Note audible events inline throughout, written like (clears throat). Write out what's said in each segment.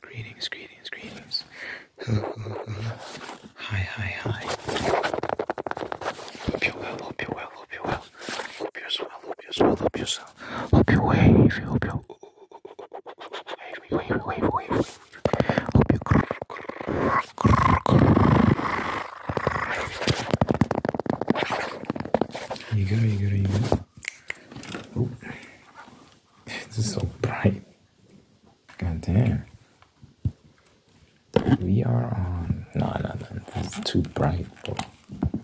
Greetings, greetings, greetings. (laughs) Hi, hi, hi. Hope you're well, hope you're well, hope you're well. Hope you're hope you're hope you're Hope you wave, hope you wave, you go, you go, you go. Oh. It's so bright. God damn. We are on. No, no, no. It's too bright,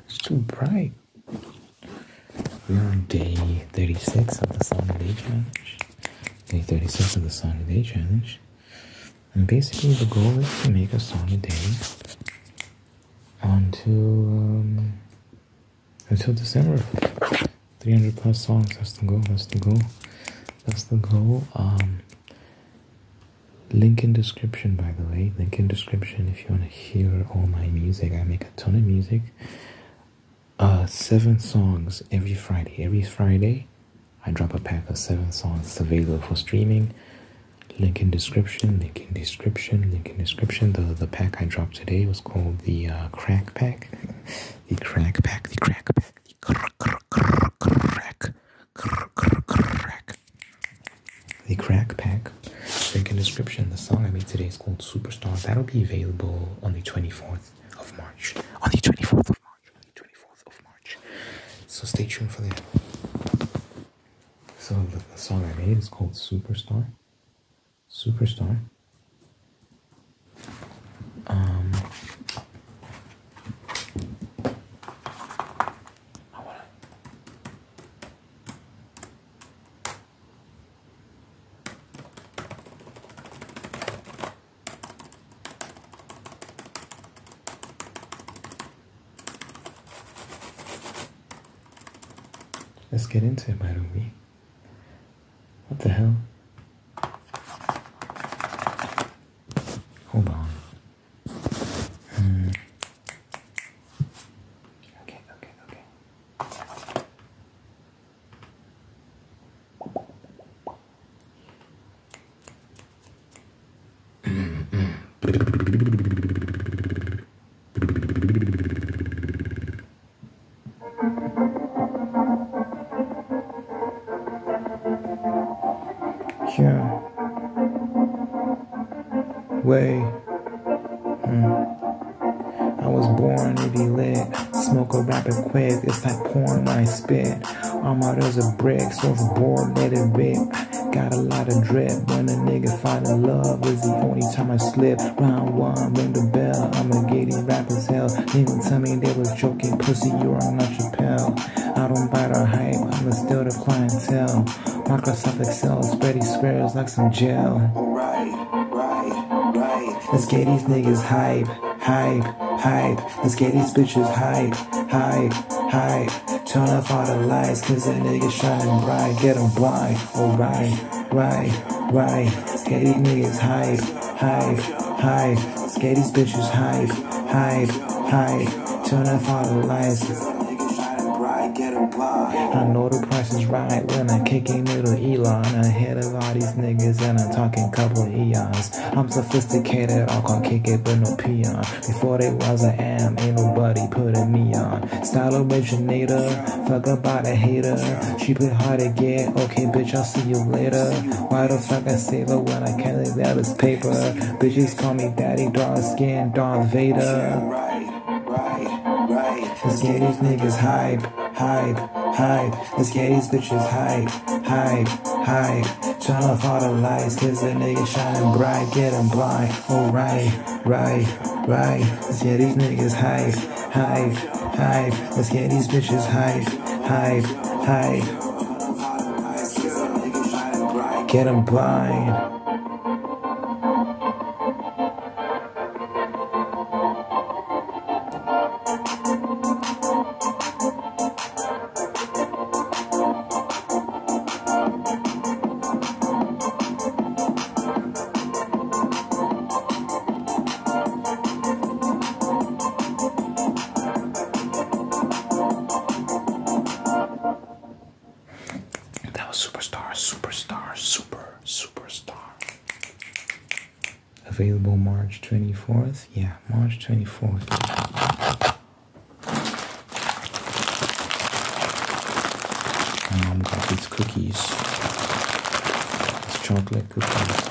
It's too bright. We are on day 36 of the Sunday Challenge. Day 36 of the Sunday Challenge. And basically, the goal is to make a Sunday day onto um, until December. 300 plus songs. has to go, has to go, has to go. Um, link in description, by the way. Link in description if you want to hear all my music. I make a ton of music. Uh, seven songs every Friday. Every Friday, I drop a pack of seven songs. available for streaming. Link in description link in description. Link in description. The the pack I dropped today was called the uh, crack pack. the crack pack. The crack pack. The crack crack crack crack. The crack pack. Link in description. The song I made today is called Superstar. That'll be available on the twenty fourth of March. On the twenty fourth of March. On the twenty fourth of March. So stay tuned for that. So the, the song I made is called Superstar. Superstar. Um, Let's get into it, my Marumi. What the hell? Hold on. Hmm. Okay, okay, okay. (clears throat) Yeah. Way. Mm. I was born to be lit. Smoke a rapid quick. It's like pouring when spit. I'm out as the brick, so it's bored, let it rip. Got a lot of drip. When a nigga finding love is the only time I slip. Round one, ring the bell. I'm a gating rap as hell. Nigga tell me they was joking, pussy, you are on a Chappelle. I don't bite the hype, I'm going to still the clientele. Microsoft Excel, spready squares like some gel. Alright, right, right. Let's get these niggas hype, hype, hype. Let's get these bitches hype, hype, hype. Turn off all the lights, cause that nigga's shining bright, get them blind. Oh, alright, right, right. Skatey niggas hype, hype, hype. Skatey bitches hype, hype, hype. Turn off all the lights. I know the price is right when I kick in with the Elon Ahead of all these niggas and I'm talking couple eons I'm sophisticated, I can kick it but no peon Before they was I am, ain't nobody puttin' me on uh, style originator. Fuck about a hater. She put hard to get. Okay, bitch, I'll see you later. Why the fuck I save her when I can't leave out this paper? Bitches call me daddy, dark skin, Darth Vader. Right, right, right. Let's get these niggas hype, hype, hype. Let's get these bitches hype, hype, hype. Turn off all the lights, cause the nigga shining bright, getting blind alright, oh, right, right. Let's get these niggas high, high, high. Let's get these bitches high, high, high. Get them blind. That was superstar, superstar, super, superstar. Available March 24th? Yeah, March 24th cookies, these chocolate cookies.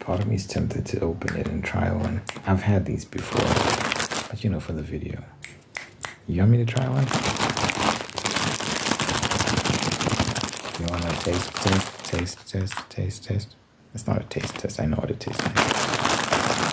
Part of me is tempted to open it and try one. I've had these before, but you know, for the video. You want me to try one? You want to taste test, taste test, taste test? It's not a taste test. I know what it tastes like.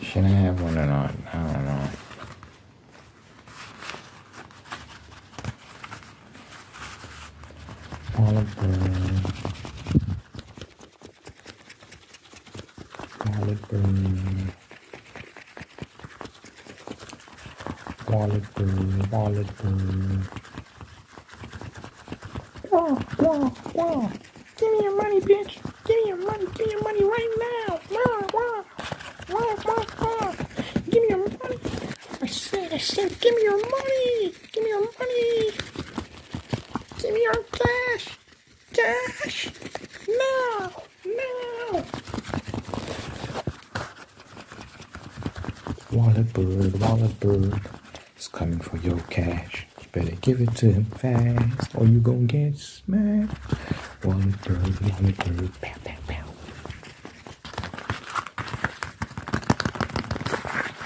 Should I have one or not? I don't know. Oliver garlic bread, garlic bread, garlic bread. Wah, wah, wah. Give me your money, bitch. Give me your money. Give me your money right now. Wah, wah, wah, wah, wah. Give me your money. I said, I said, give me your money. Give me your money. Give me your cash. Cash. No. No. Wallet bird, wallet bird. It's coming for your cash. You better give it to him fast or you gonna get smacked. Wallet bird, wallet bird. Pow, pow, pow.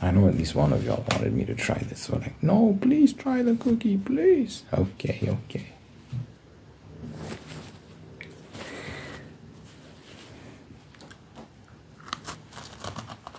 I know at least one of y'all wanted me to try this, so like, no, please try the cookie, please. Okay, okay.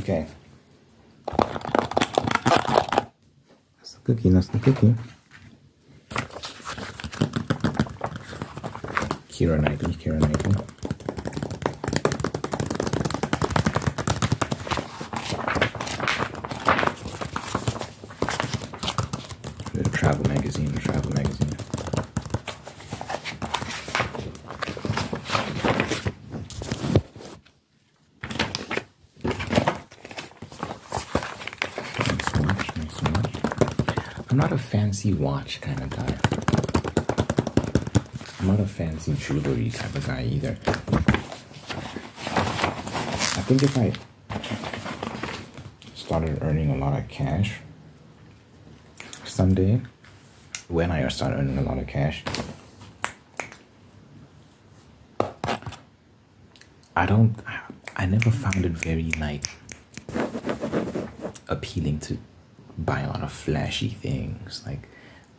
Okay. That's the cookie, nice and cookie. Kira Knightley, Kira Knightley. travel magazine, travel magazine. I'm not a fancy watch kind of guy. I'm not a fancy jewelry type of guy either. I think if I started earning a lot of cash, someday when I start earning a lot of cash. I don't, I never found it very like appealing to buy a lot of flashy things like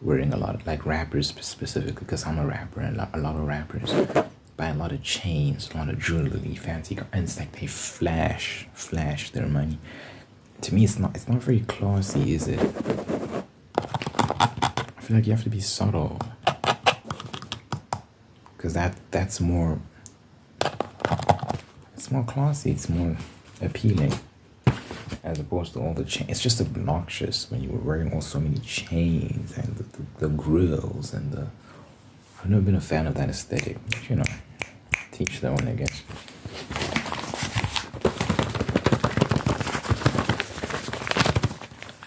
wearing a lot of like rappers specifically because I'm a rapper and a lot of rappers buy a lot of chains, a lot of jewelry, fancy, and it's like they flash flash their money to me it's not it's not very classy is it i feel like you have to be subtle because that that's more it's more classy it's more appealing as opposed to all the chains it's just obnoxious when you were wearing all so many chains and the, the grills and the I've never been a fan of that aesthetic. But, you know, teach that one, I guess.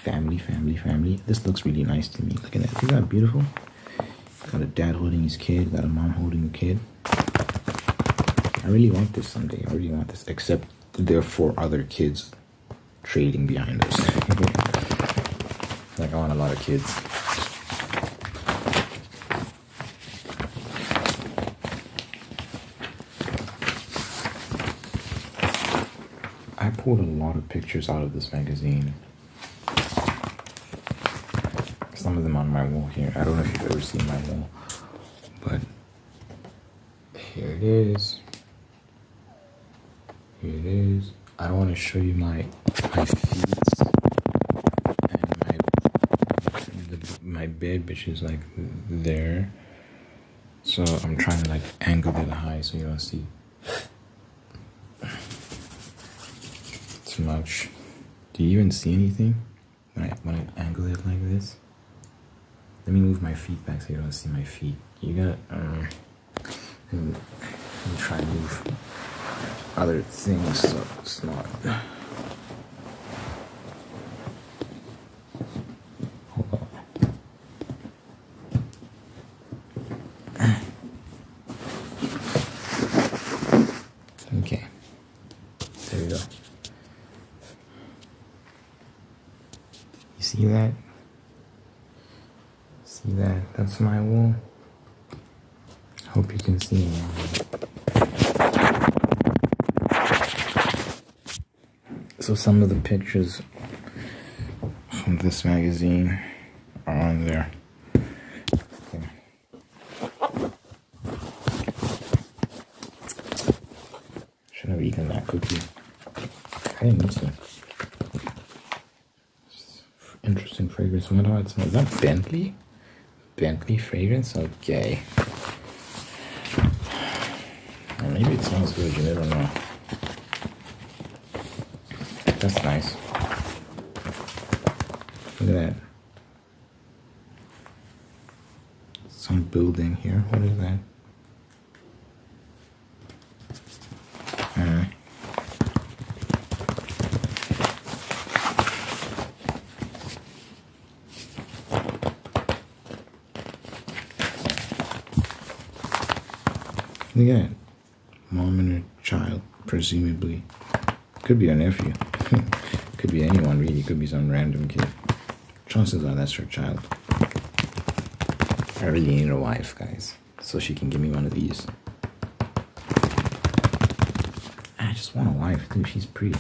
Family, family, family. This looks really nice to me. Look at that. Isn't that beautiful? Got a dad holding his kid. Got a mom holding a kid. I really want this someday. I really want this. Except there are four other kids trading behind us. (laughs) Like, I want a lot of kids. I pulled a lot of pictures out of this magazine. Some of them on my wall here. I don't know if you've ever seen my wall, but here it is. Here it is. I don't want to show you my my feet and my my bed, which is like there. So I'm trying to like angle it high so you don't see too much. Do you even see anything when I when I angle it like this? Let me move my feet back so you don't see my feet. You got um and try and move other things so it's not okay there you go you see that see that that's my wall. Hope you can see me. So some of the pictures from this magazine are on there. should have eaten that cookie. I didn't need to. Interesting fragrance. What how it smells. Is that Bentley? Bentley fragrance? Okay. maybe it smells good, you never know. That's nice. Look at that. Some building here. What is that? Uh, Again, mom and her child, presumably. Could be her nephew. (laughs) could be anyone, really. Could be some random kid. Chances are that's her child. I really need a wife, guys, so she can give me one of these. Ah, I just want a wife too, she's pretty.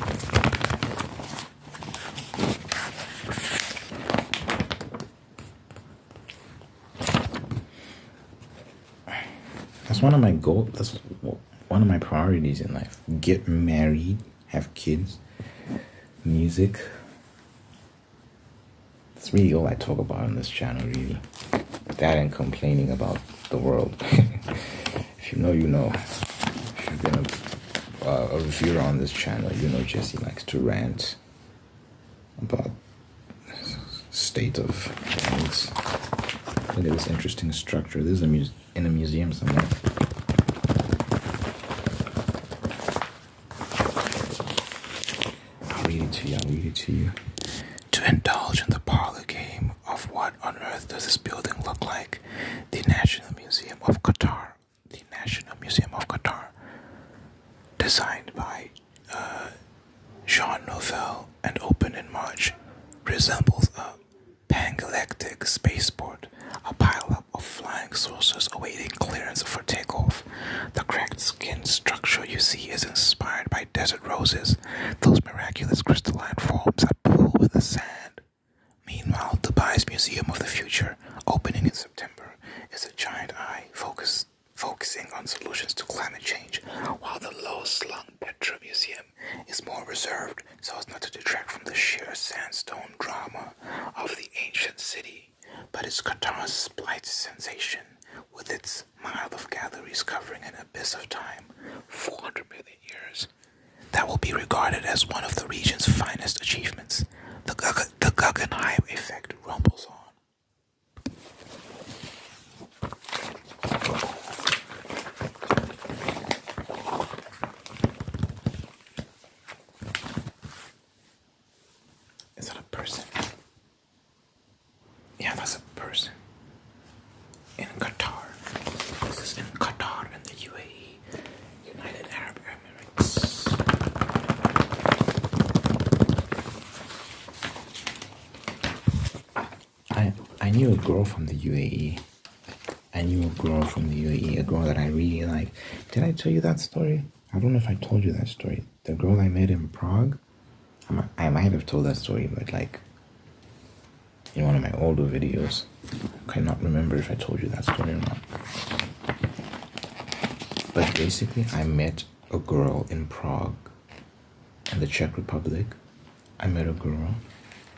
That's one of my goals, that's one of my priorities in life. Get married, have kids, music. That's really all I talk about on this channel, really. That and complaining about the world. (laughs) if you know, you know. If you are been a, uh, a reviewer on this channel, you know Jesse likes to rant about state of things. Look at this interesting structure. This is a muse in a museum somewhere. I'll read it to you. I'll read it to you to indulge in the parlor game of what on earth does this building look like? The National Museum of Qatar. The National Museum of Qatar, designed by uh, Jean Nouvel and opened in March, resembles a pangalactic spaceport, a pileup of flying saucers awaiting clearance for takeoff. The cracked skin structure you see is inspired by desert roses, those miraculous crystalline forms that pool with the sand. Meanwhile, Dubai's Museum of the Future, opening in September, is a giant eye focusing on solutions to climate change, while the low-slung Petra Museum is more reserved so as not to detract from the sheer sandstone drama of the ancient city, but its Qatar's blight sensation with its mile of galleries covering an abyss of time, 400 million years, that will be regarded as one of the region's finest achievements. The, Guggenheim effect rumbles on. Is that a person? Yeah, that's a person in Qatar. This is in Qatar in the UAE, United Arab Emirates. I I knew a girl from the UAE. I knew a girl from the UAE, a girl that I really liked. Did I tell you that story? I don't know if I told you that story. The girl I met in Prague, I might have told that story, but like in one of my older videos, I cannot remember if I told you that story or not. But basically, I met a girl in Prague, in the Czech Republic. I met a girl,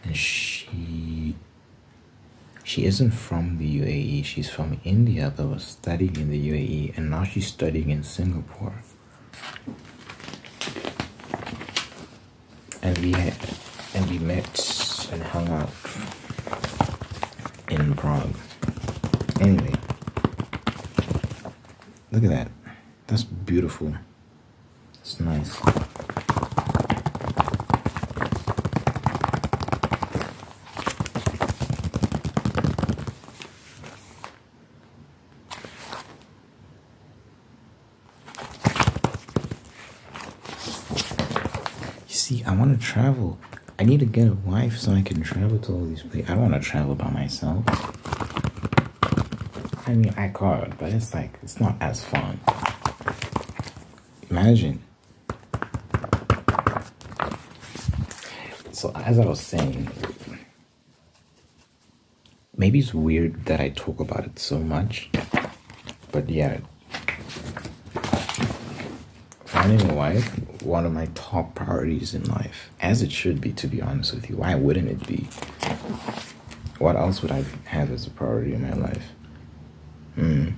and she she isn't from the UAE. She's from India, but was studying in the UAE, and now she's studying in Singapore and we and we met and hung out in Prague. Anyway, look at that. That's beautiful. It's nice see, I want to travel. I need to get a wife so I can travel to all these places. I don't want to travel by myself. I mean, I could, but it's like, it's not as fun. Imagine. So, as I was saying, Maybe it's weird that I talk about it so much, but yeah. Finding a wife, one of my top priorities in life, as it should be, to be honest with you. Why wouldn't it be? What else would I have as a priority in my life? Hmm.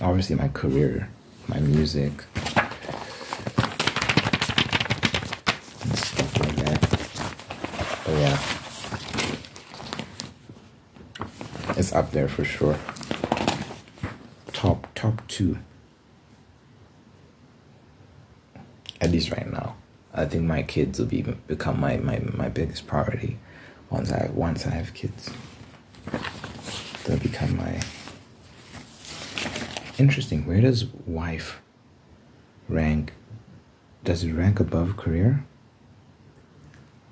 Obviously, my career, my music stuff like that. But yeah, it's up there for sure. Top top two. At least right now, I think my kids will be become my my, my biggest priority once I once I have kids. They'll become my Interesting. Where does wife rank? Does it rank above career?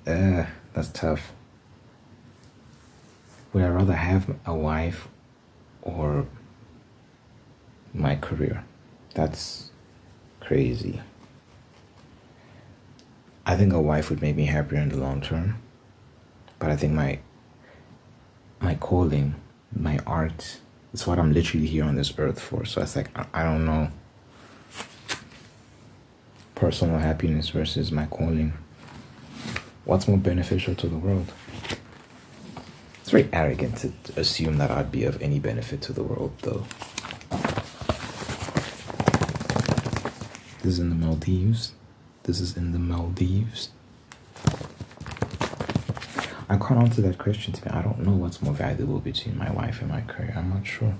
Uh, that's tough. Would I rather have a wife or my career? That's crazy. I think a wife would make me happier in the long term, but I think my my calling my art. It's what I'm literally here on this earth for. So it's like, I, don't know. Personal happiness versus my calling. What's more beneficial to the world? It's very arrogant to assume that I'd be of any benefit to the world, though. This is in the Maldives. This is in the Maldives. I can't answer that question to me. I don't know what's more valuable between my wife and my career. I'm not sure.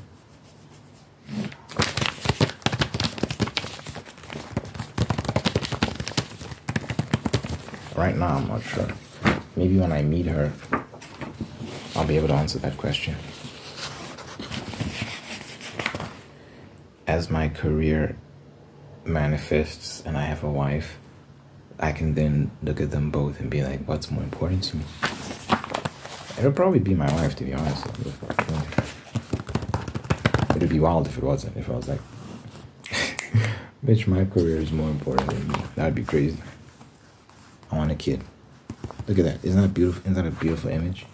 Right now, I'm not sure. Maybe when I meet her, I'll be able to answer that question as my career manifests and I have a wife, I can then look at them both and be like, what's more important to me? It'll probably be my wife, to be honest. It'd be wild if it wasn't, if I was like, (laughs) bitch, my career is more important than me. That'd be crazy. I want a kid. Look at that. Isn't that beautiful? Isn't that a beautiful image?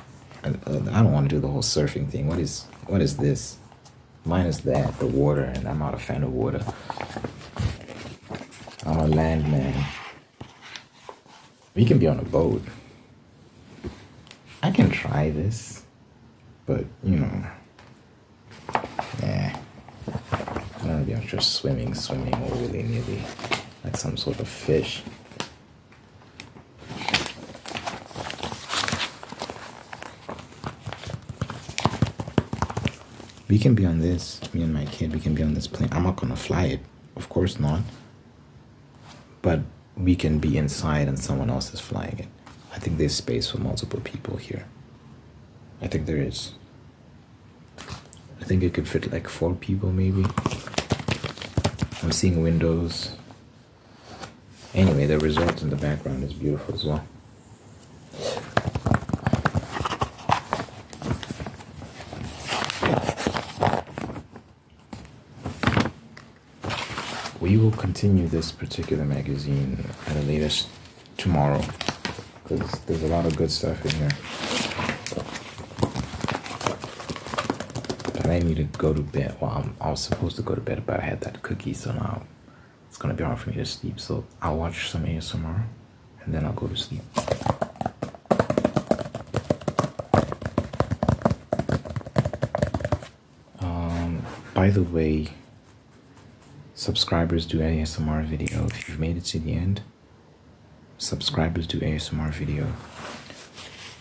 I, uh, I don't want to do the whole surfing thing. What is what is this? Minus that, the water, and I'm not a fan of water. I'm a landman. We can be on a boat. I can try this, but you know, yeah. I do be just swimming, swimming all willy nilly, like some sort of fish. We can be on this, me and my kid, we can be on this plane. I'm not gonna fly it, of course not. But we can be inside and someone else is flying it. I think there's space for multiple people here. I think there is. I think it could fit like four people maybe. I'm seeing windows. Anyway, the result in the background is beautiful as well. We will continue this particular magazine at the latest tomorrow because there's a lot of good stuff in here. But I need to go to bed. Well, I was supposed to go to bed, but I had that cookie, so now it's gonna be hard for me to sleep. So I'll watch some ASMR and then I'll go to sleep. Um, by the way, subscribers do ASMR video. If you've made it to the end, subscribers do ASMR video.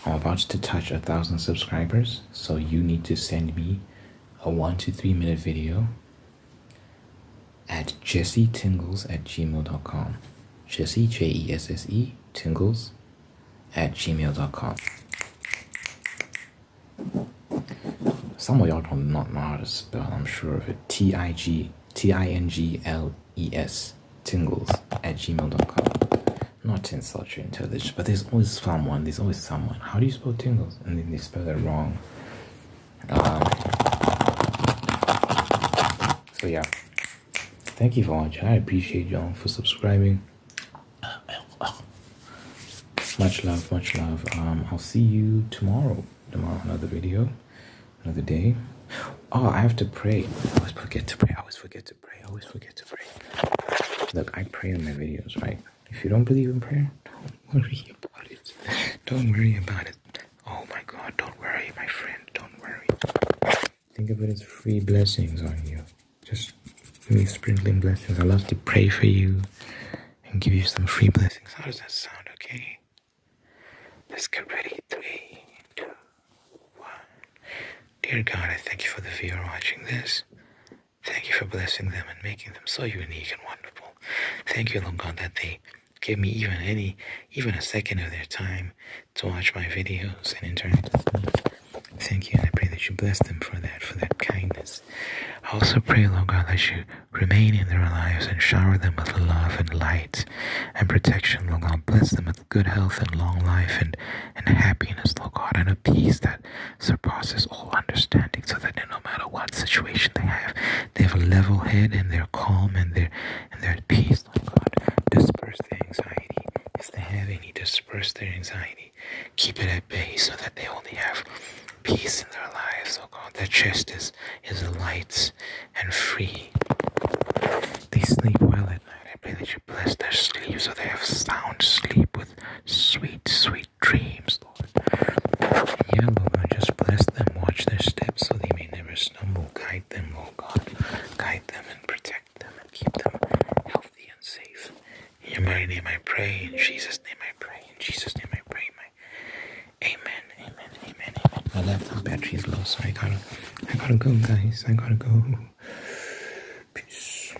I'm about to touch a thousand subscribers, so you need to send me a one to three minute video at jessetingles at gmail.com. Jesse, J E S S E, tingles at gmail.com. Some of y'all don't not know how to spell, I'm sure T I G T I N G L E S, tingles at gmail.com. Not insult your intelligence, but there's always someone, there's always someone. How do you noticeable tingles, and then they spell it wrong. Um, so yeah, thank you for watching. I appreciate y'all for subscribing. Much love, much love. Um, I'll see you tomorrow. Tomorrow, another video, another day. Oh, I have to pray. I always forget to pray. I always forget to pray. I always forget to pray. Look, I pray in my videos, right? If you don't believe in prayer, don't worry about it. Don't worry about it. Oh my God, don't worry, my friend, don't worry. Think of it as free blessings on you. Just me sprinkling blessings. I love to pray for you and give you some free blessings. How does that sound? Okay. Let's get ready. Three, two, one. Dear God, I thank you for the viewer watching this. Thank you for blessing them and making them so unique and wonderful. Thank you, Lord God, that they give me even any, even a second of their time to watch my videos and interact with me. Thank you, and I pray that you bless them for that, for that kindness. I also pray, Lord God, that you remain in their lives and shower them with love and light and protection, Lord God. Bless them with good health and long life and, and happiness, Lord God. And peace that surpasses all understanding, so that no matter what situation they have, they have a level head and they're calm and they're and they're at peace. Lord God, disperse the anxiety. If they have any, disperse their anxiety. Keep it at bay so that they only have peace in their lives, oh God. Their chest is, is light and free. They sleep well at night. I pray that you bless their sleep so they have sound sleep with sweet, sweet dreams, Lord. Yeah, Lord, just bless them, watch their steps so they may never stumble. Guide them, oh God. Guide them and protect them and keep them healthy and safe. In your name I pray, in Jesus' name I pray, in Jesus' name I pray. Amen, amen, amen, amen. My laptop battery low, so I gotta, I gotta go, guys. I gotta go. Peace.